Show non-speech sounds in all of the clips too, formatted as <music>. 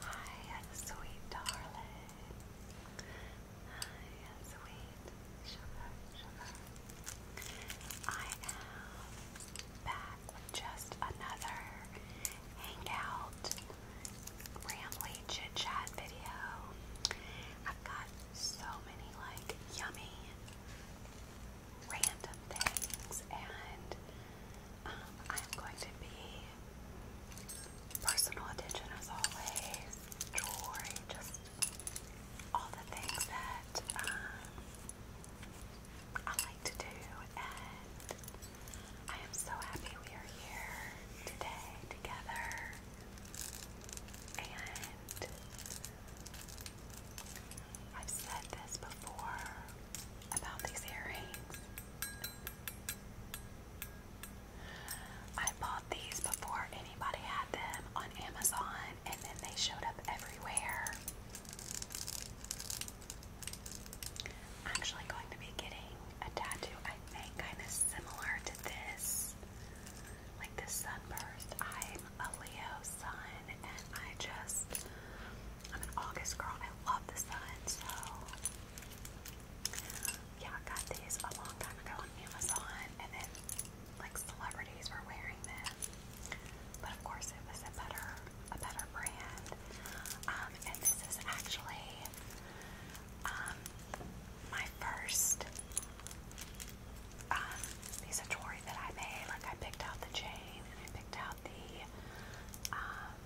Hi, sweet darling. Hi, sweet sugar, sugar. I am back with just another hangout, rambly chit chat video. I've got so many like yummy, random things and I'm going to be personal attention as always, jewelry, just all the things that um, I like to do, and I am so happy we are here today together. And I've said this before about these earrings. I bought these before anybody had them on Amazon, and then they showed up everywhere. I'm actually going to be getting a tattoo, I think, kind of similar to this. Like the sunburst. I'm a Leo sun, and I just I'm an August girl. I love the sun, so yeah, I got these a long time ago on Amazon, and then like celebrities were wearing them. But of course, it was a better, a better brand. Um, and this is actually um, my first. Um, piece of jewelry that I made. Like I picked out the chain and I picked out about the, um,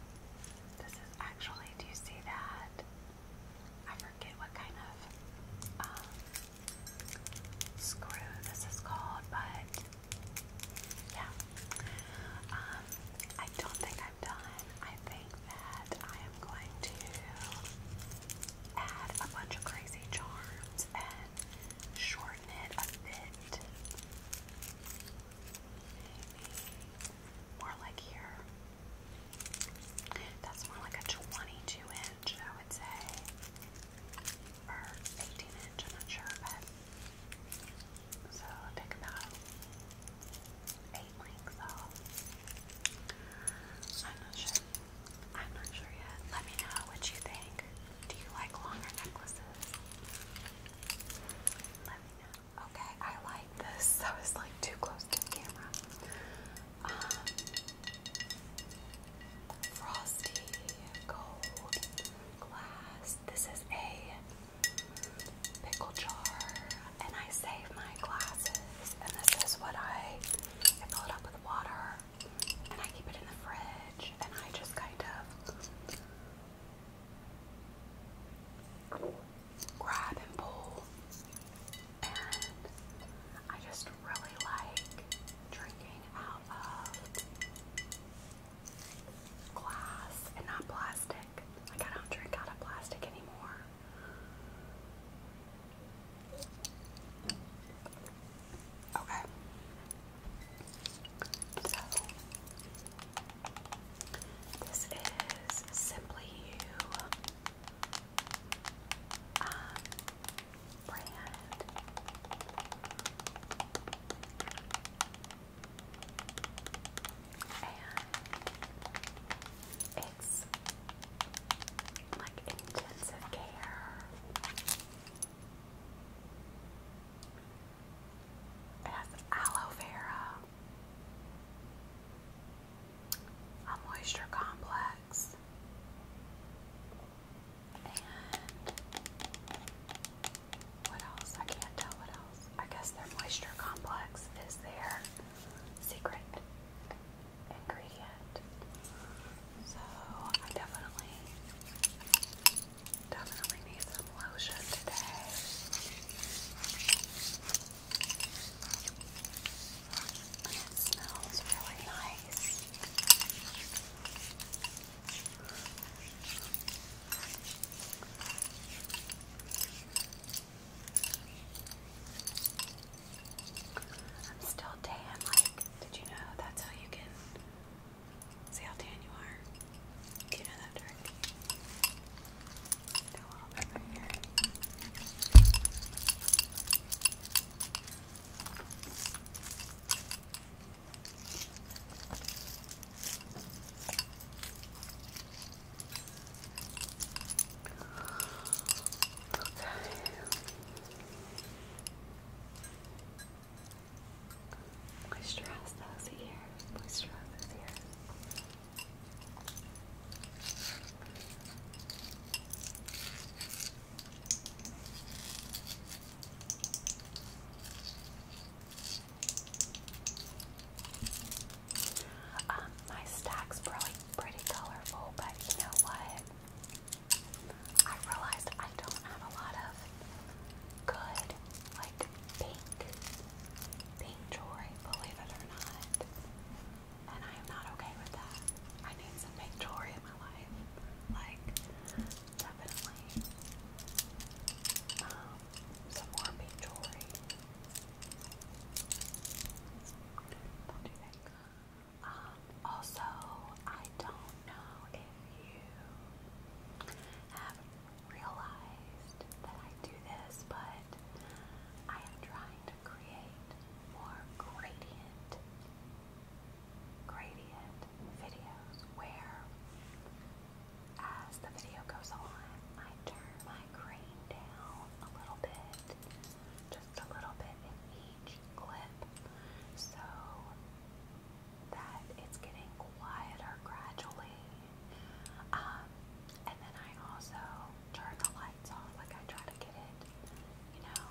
this is actually, do you see that? I forget what kind of um, screw this is called, but yeah. Um, I don't think I'm done. I think that I am going to add a bunch of crazy charms and shorten it a bit. More like here. That's more like a 22 inch, I would say. Or 18 inch, I'm not sure, So i about eight lengths off. I'm not sure. I'm not sure yet. Let me know what you think. Do you like longer necklaces? Okay, I like this. That <laughs> was like too close to the camera. Um, frosty gold glass. This is a pickle jar, and I save my glasses. And this is what I, I fill it up with water, and I keep it in the fridge, and I just kind of grab and pull. And I just really like drinking out of glass and not plastic. Like, I don't drink out of plastic anymore. Okay. This is Simply You um, brand. And it's like intensive care. It has aloe vera, a moisture complex, and what else? I can't tell what else. I guess their moisture complex is their secret ingredient. So I definitely Definitely need some lotion today. And it smells really nice. I'm still tan. Like, did you know that's how you can See how tan you are? Do you know that trick? Okay. Moisturize those ears. Moisturize those ears. Um, my stack's probably pretty colorful, but you know what? I realized I don't have a lot of good, like pink, pink jewelry, believe it or not. And I am not okay with that. I need some pink jewelry in my life. Like, definitely. Um, some more pink jewelry. Um, also, I don't know if you have realized that I do this, but I am trying to create more gradient, gradient videos where as the video goes on, I turn my grain down a little bit, just a little bit in each clip, so that it's getting quieter gradually. Um, and then I also turn the lights off, like I try to get it, you know,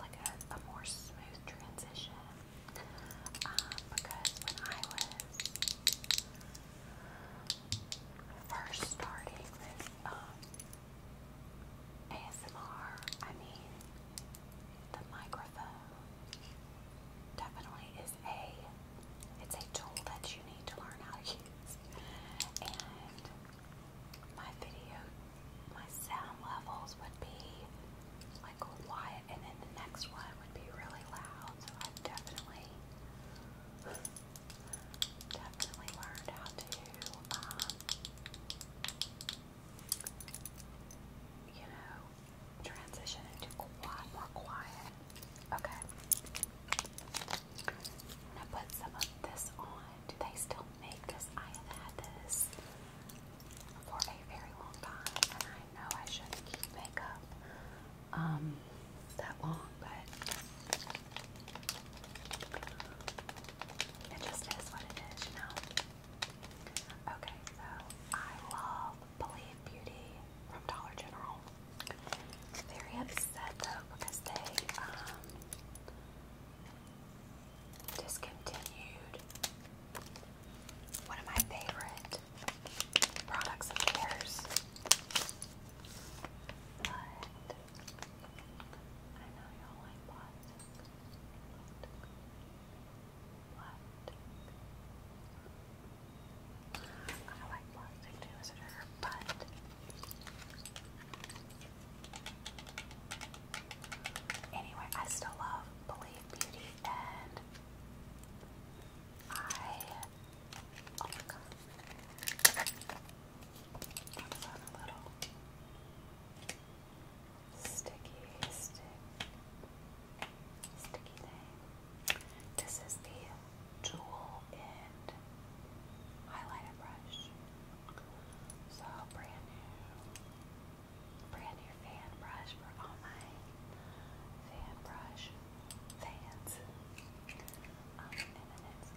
like a, a more smooth transition. Um, because when I was first starting this um, ASMR, I mean, the microphone definitely is a it's a tool that you need to learn how to use. And my video my sound levels would be like quiet and then the next one would be really loud. So I've definitely definitely learned how to um you know, transition into quiet, more quiet. Okay. I'm gonna put some of this on. Do they still make this? I have had this for a very long time, I know I shouldn't keep makeup um that long, but it just is what it is, you know. Okay, so I love Believe Beauty from Dollar General. Very upset though because they um, discontinued one of my favorite products of theirs. But I know y'all like I like plastic too but anyway, I still love Believe Beauty and I oh my god. I was a little sticky stick sticky thing. This is the jewel end highlighter brush. So brand new brand new fan brush for all my fan brush fans. Um, and then it's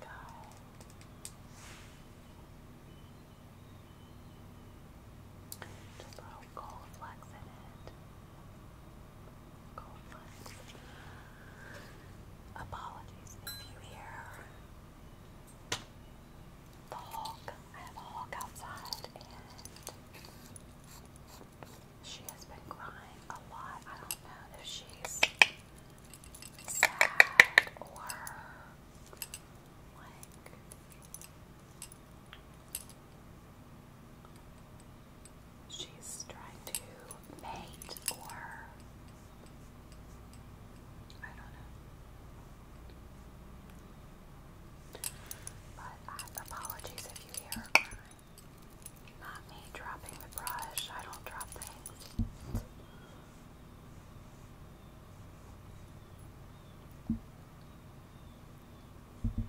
just little coal flex in it. Coal flex. Apologies if you hear the hawk. I have a hawk outside and she has been crying a lot. I don't know if she's sad or like She's trying to paint or I don't know. But uh, apologies if you hear Not me dropping the brush. I don't drop things. Okay.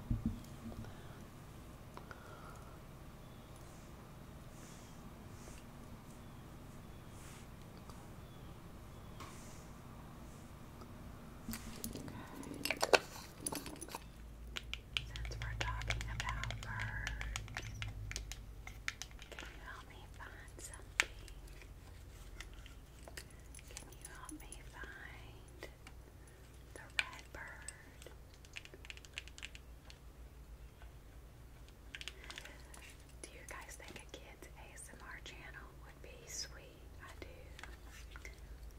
Since we're talking about birds, can you help me find something? Can you help me find the red bird? Do you guys think a kid's ASMR channel would be sweet? I do.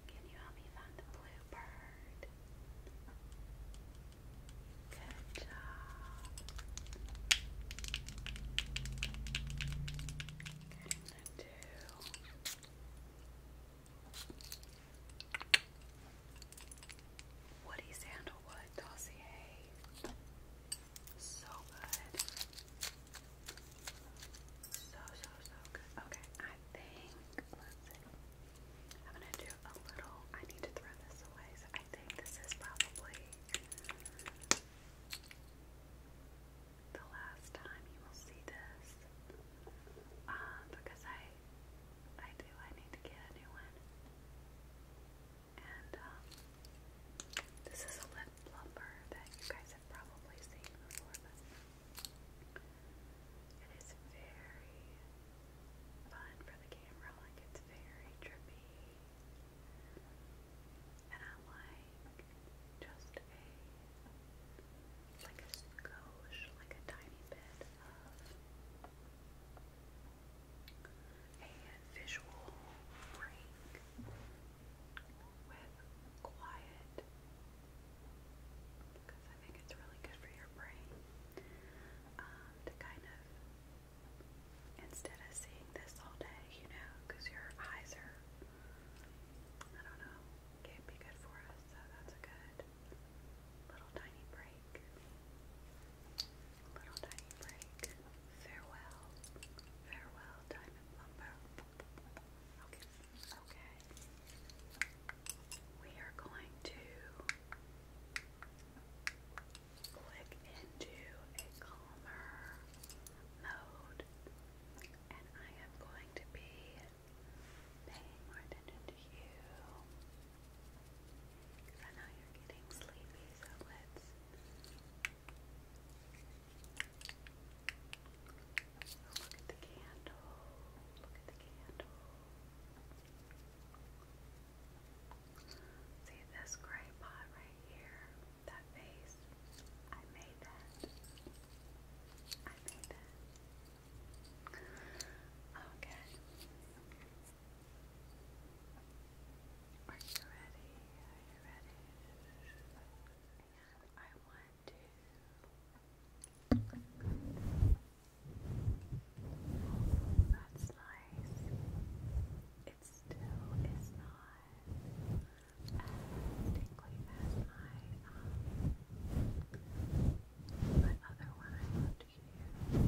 Can you help me find the blue bird? Good job do. Woody Sandalwood Dossier. So good. So, so, so good. Okay, I think, I'm going to do a little, I need to throw this away, so I think this is probably the last time you will see this, um, because I, I do, I need to get a new one, and, um, this is a lip plumper that you guys have probably seen before, but it is very fun for the camera, like it's very trippy and I like just a like a skosh, like a tiny bit of a visual break with quiet because I think it's really good for your brain um, to kind of instead of seeing this all day, you know, because your eyes are I don't know, can't be good for us, so that's a good little tiny break. Little tiny break. Farewell. Farewell, Diamond Lumber. Okay. We are going to click into a calmer mode and I am going to be paying more attention to you because I know you're getting sleepy, so let's look at the candle. Look at the candle. See this gray pot right here? That face. I made that. I made that. Okay. Are you ready? Are you ready? And I want to that's nice it still is not as tingly as my, other one I loved here, but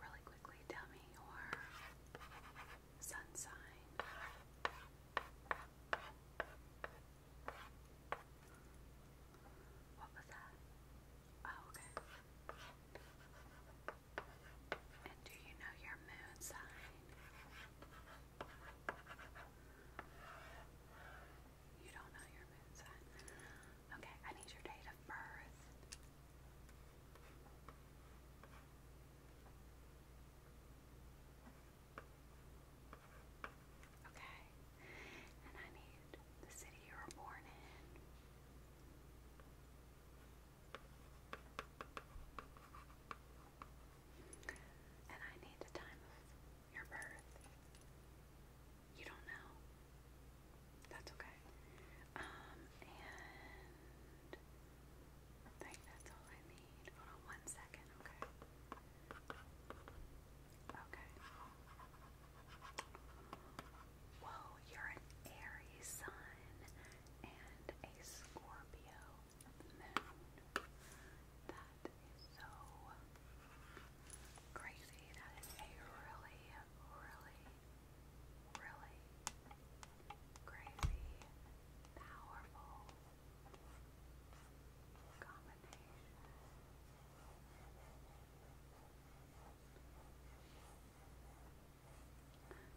really quickly tell me your sun sign. What was that? Oh, okay. And do you know your moon sign? You don't know your moon sign. Okay, I need your date of birth. Okay, and I need the city you were born in. And I need the time of your birth. You don't know. That's okay. Um, and I think that's all I need. one second, okay? Okay. Whoa, you're an Aries sun and a Scorpio moon. That is so crazy. That is a really, really, really crazy, powerful combination.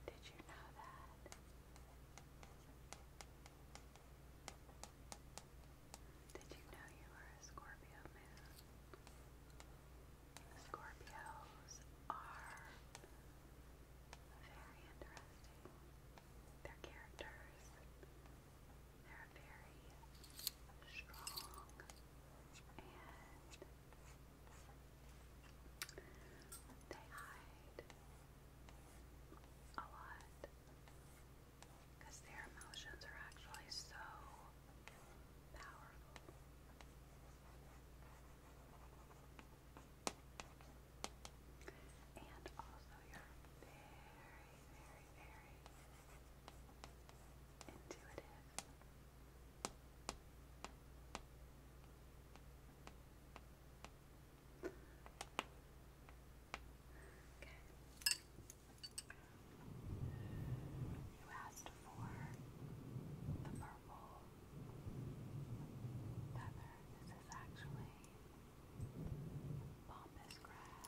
Did you know that? Did you know you were a Scorpio moon? Scorpios are very interesting. Their characters they're very strong and they hide a lot because their emotions are actually so powerful. And also, you're very, very, very intuitive. You asked for the purple feather. This is actually Bombus grass.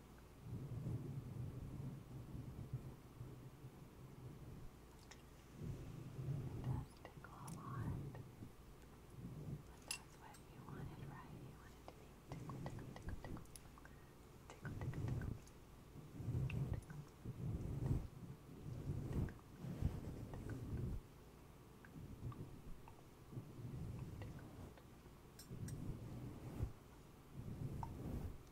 It does tickle a lot. But that's what you wanted, right? You wanted to be tickle, tickle, tickle, tickle. Tickle, tickle, tickle. Tickle, tickle. Tickle, tickle. Tickled. Tickled. Tickled.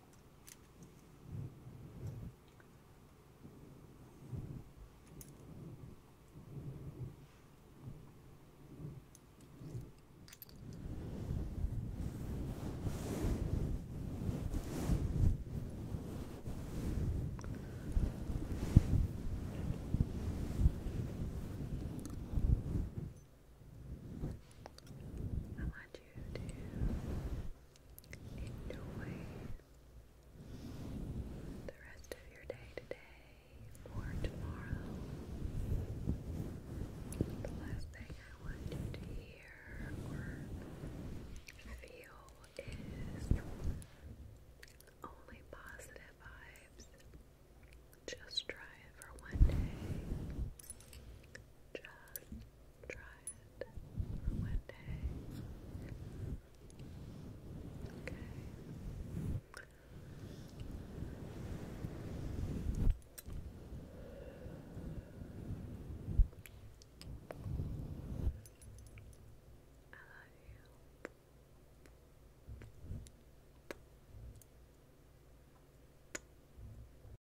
I want you to Enjoy the rest of your day today or tomorrow. The last thing I want you to hear or feel is only positive vibes. Just try it for one day. Just try it one day. Okay. I love you.